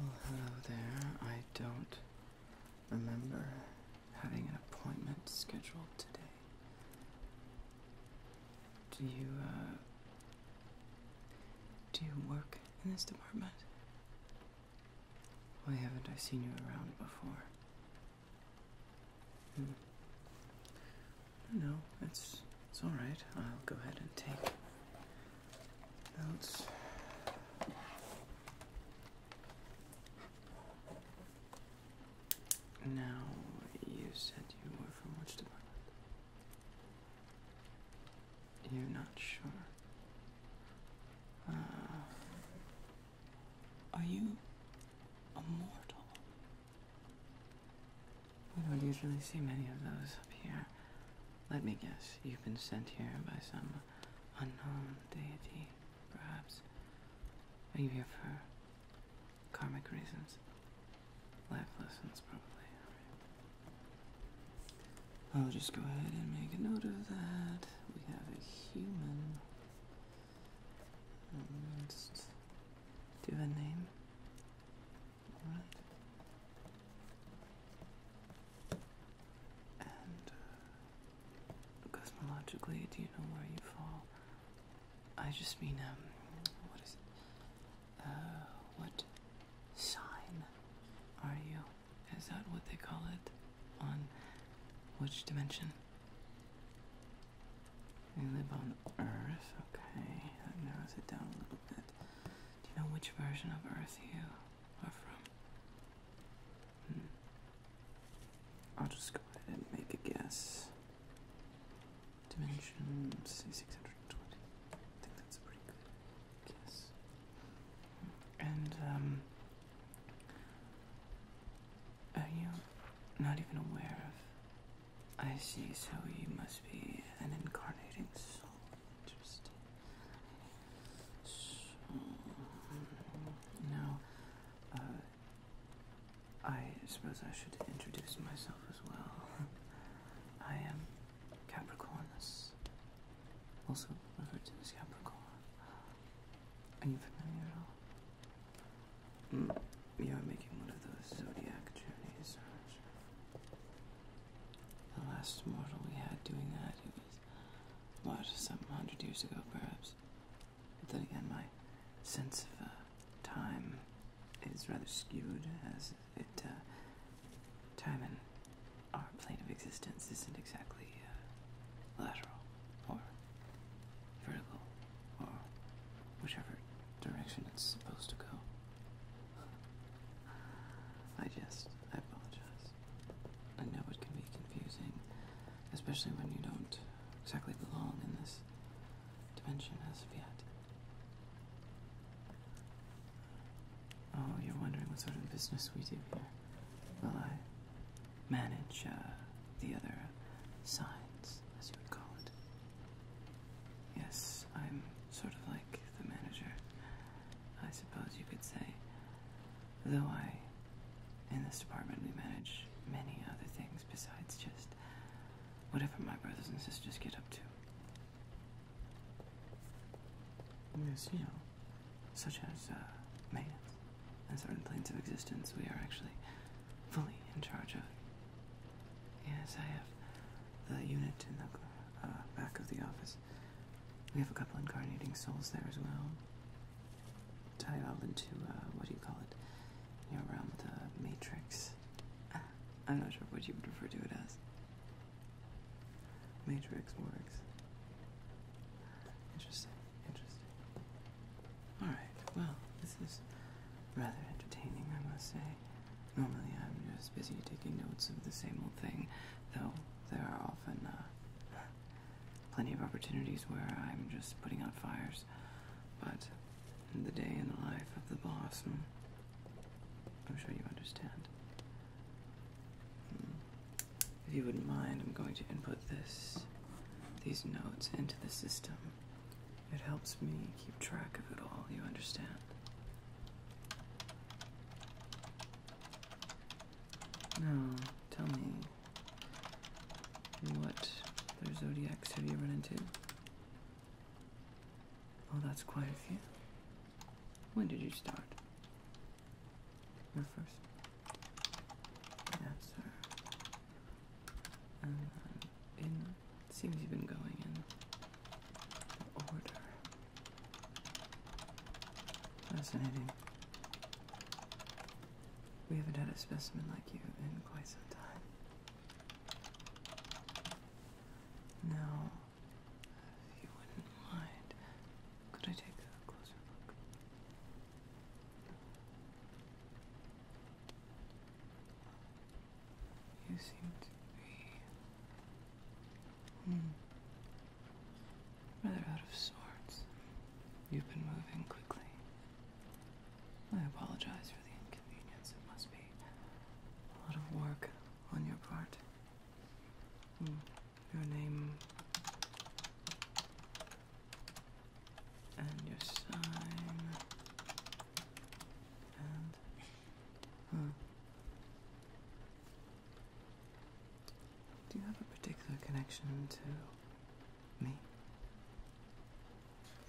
Well, hello there. I don't remember having an appointment scheduled today. Do you, uh, do you work in this department? Why haven't I seen you around before? Hmm. No, it's it's all right. I'll go ahead and take notes. Now, you said you were from which department? You're not sure. Uh, are you a mortal? We don't usually see many of those up here. Let me guess, you've been sent here by some unknown deity, perhaps. Are you here for karmic reasons? Life lessons, probably. right. I'll just go ahead and make a note of that. We have a human. do a name. All right. And uh, cosmologically, do you know where you fall? I just mean, um, what is it? Oh, what sign are you? Is that what they call it? On which dimension? You live on Earth? Okay, that narrows it down a little bit. Do you know which version of Earth you are from? Hmm. I'll just go ahead and make a guess. Dimensions 620. I think that's a pretty good guess. And, um, are you not even aware of? I see, so you must be an incarnating soul. Interesting. now, uh, I suppose I should introduce myself as well. I am Capricornus, also referred to as Capricorn. Are you familiar at all? Mm, you are making one of those zodiac journeys, The last mortal we had doing that, it was, what, some hundred years ago, perhaps? But then again, my sense of uh, time is rather skewed as it uh, time in our plane of existence isn't exactly uh, lateral or vertical or whichever direction it's supposed to go. I just, I apologize. I know it can be confusing, especially when you don't exactly belong in this dimension as of yet. Oh, you're wondering what sort of business we do here. Well, I manage uh, the other signs, as you would call it. Yes, I'm sort of like the manager, I suppose you could say. Though I, in this department, we manage many other things besides just whatever my brothers and sisters get up to. There's, you know, such as uh, maintenance and certain planes of existence we are actually fully in charge of. Yes, I have the unit in the uh, back of the office. We have a couple incarnating souls there as well. Tied all into, uh, what do you call it? you know, the matrix. I'm not sure what you would refer to it as. Matrix works. Interesting, interesting. Alright, well, this is rather entertaining, I must say. Normally I'm just busy taking notes of the same old thing, though there are often uh, plenty of opportunities where I'm just putting out fires. But the day in the life of the boss. I'm sure you understand. Hmm. If you wouldn't mind, I'm going to input this, these notes into the system. It helps me keep track of it all, you understand? Now, tell me, what other zodiacs have you run into? Oh, that's quite a few. When did you start? Your first answer. Um, in seems you've been going in order. Fascinating. We haven't had a specimen like you in quite some time. Now, if you wouldn't mind, could I take a closer look? You seem to be hmm, rather out of sorts. You've been moving quickly. I apologize for the inconvenience. It must be a lot of work on your part. Hmm. Your name and your sign and hmm. Do you have a particular connection to me?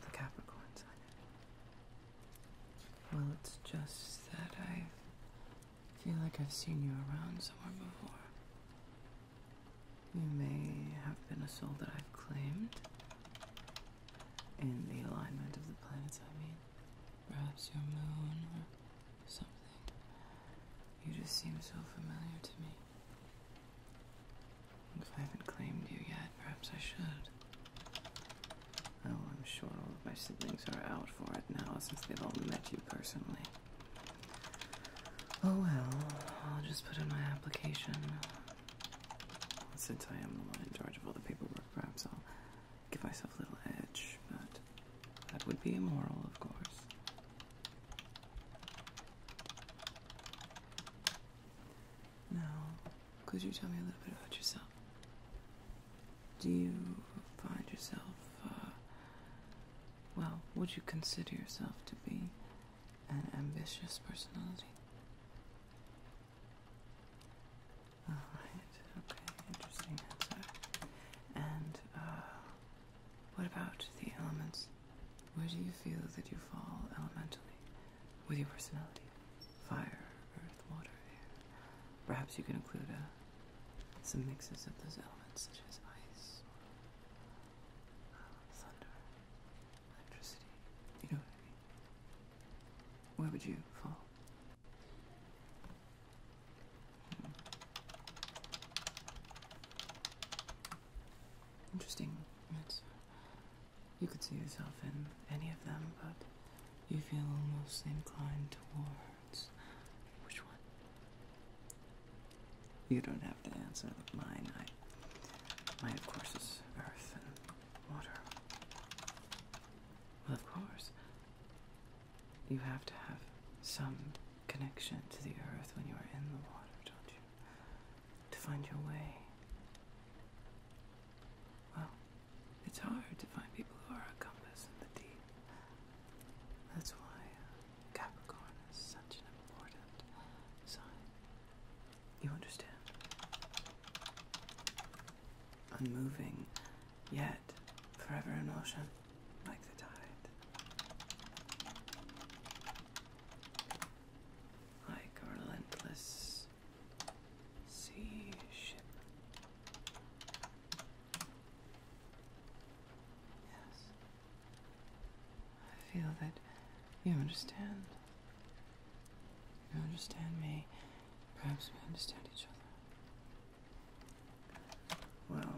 The Capricorn sign. Well, it's just that I feel like I've seen you around somewhere before. You may have been a soul that I've claimed. In the alignment of the planets, I mean. Perhaps your moon or something. You just seem so familiar to me. If I haven't claimed you yet, perhaps I should. Oh, I'm sure all of my siblings are out for it now since they've all met you personally. Oh well, I'll just put in my application. Since I am the one in charge of all the paperwork, perhaps I'll give myself a little edge, but that would be immoral, of course. Now, could you tell me a little bit about yourself? Do you find yourself, uh, well, would you consider yourself to be an ambitious personality? Alright, okay, interesting answer. And, uh, what about the elements? Where do you feel that you fall elementally with your personality? Fire, earth, water, air. Perhaps you can include uh, some mixes of those elements, such as ice, or, uh, thunder, electricity. You know Where would you fall? Interesting. you could see yourself in any of them, but you feel most inclined towards which one? You don't have to answer mine. I, mine, of course, is earth and water. Well, of course, you have to have some connection to the earth when you are in the water, don't you? to find your way. Well, it's hard to find people who are a compass in the deep. That's why uh, Capricorn is such an important sign. You understand? Unmoving, yet forever in motion, like the tide like a relentless sea ship. Yes. I feel that you understand. You understand me. Perhaps we understand each other. Well,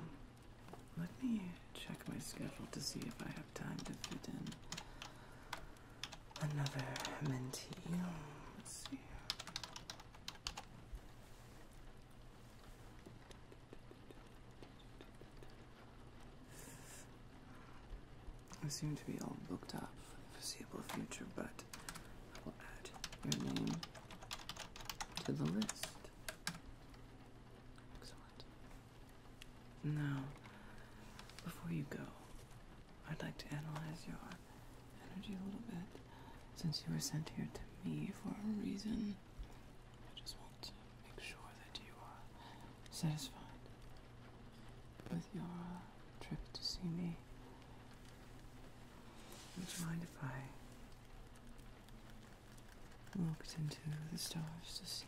let me check my schedule to see if I have time to fit in another mentee. Let's see. I seem to be all booked up for the foreseeable future, but I will add your name to the list. Excellent. Now, before you go, I'd like to analyze your energy a little bit. Since you were sent here to me for a reason, I just want to make sure that you are satisfied with your trip to see me. Would you mind if I looked into the stars to see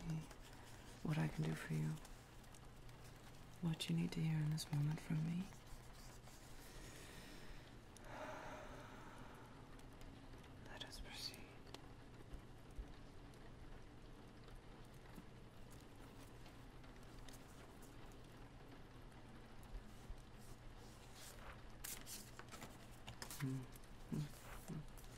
what I can do for you, what you need to hear in this moment from me. Let us proceed. Mm -hmm. hmm. hmm.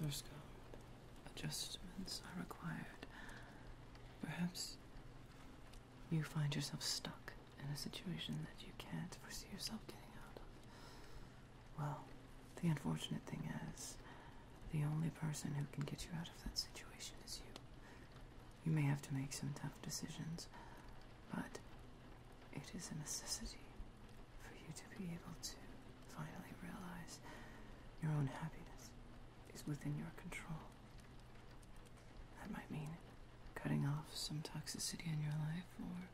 Source Adjustments are required. Perhaps you find yourself stuck in a situation that you can't foresee yourself getting out of. Well, the unfortunate thing is, the only person who can get you out of that situation is you. You may have to make some tough decisions, but it is a necessity for you to be able to finally realize your own happiness is within your control. That might mean cutting off some toxicity in your life, or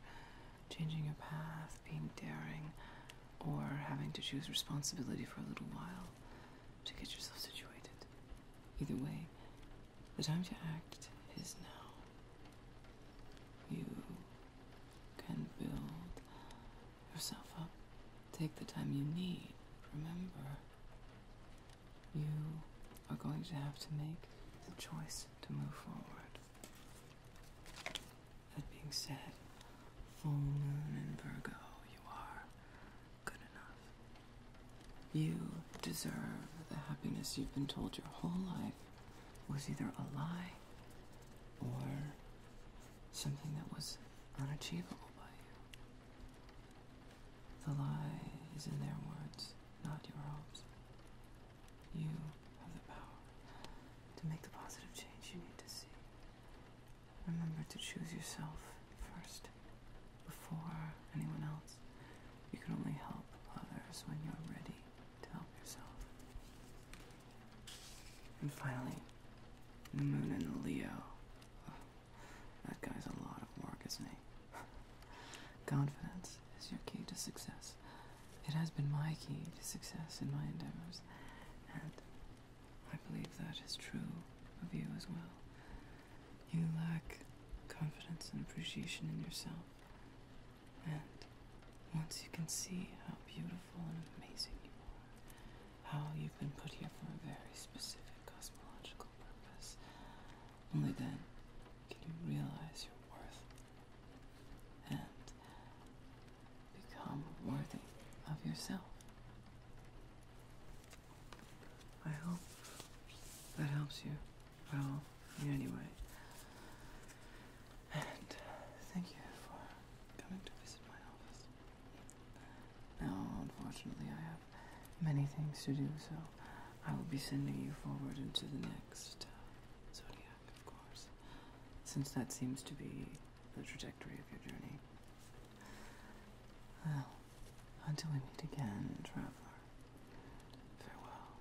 changing your path, being daring, or having to choose responsibility for a little while to get yourself situated. Either way, the time to act is now. You can build yourself up. Take the time you need. Remember, you are going to have to make the choice to move forward. That being said, full moon in Virgo, you are good enough. You deserve the happiness you've been told your whole life was either a lie or something that was unachievable by you. The lie is in their words, not your hopes. You have the power to make the positive change you need to see. Remember to choose yourself first before anyone else. You can only help others when you're ready to help yourself. And finally, the moon in Leo. Oh, that guy's a lot of work, isn't he? Confidence is your key to success. It has been my key to success in my endeavors, and I believe that is true of you as well. You lack confidence and appreciation in yourself. And once you can see how beautiful and amazing you are, how you've been put here for a very specific cosmological purpose, only then can you realize your worth and become worthy of yourself. I hope that helps you Well, anyway, And thank you for coming to visit my office. Now, unfortunately, I have many things to do, so I will be sending you forward into the next uh, zodiac, of course, since that seems to be the trajectory of your journey. Well, until we meet again, traveler, farewell.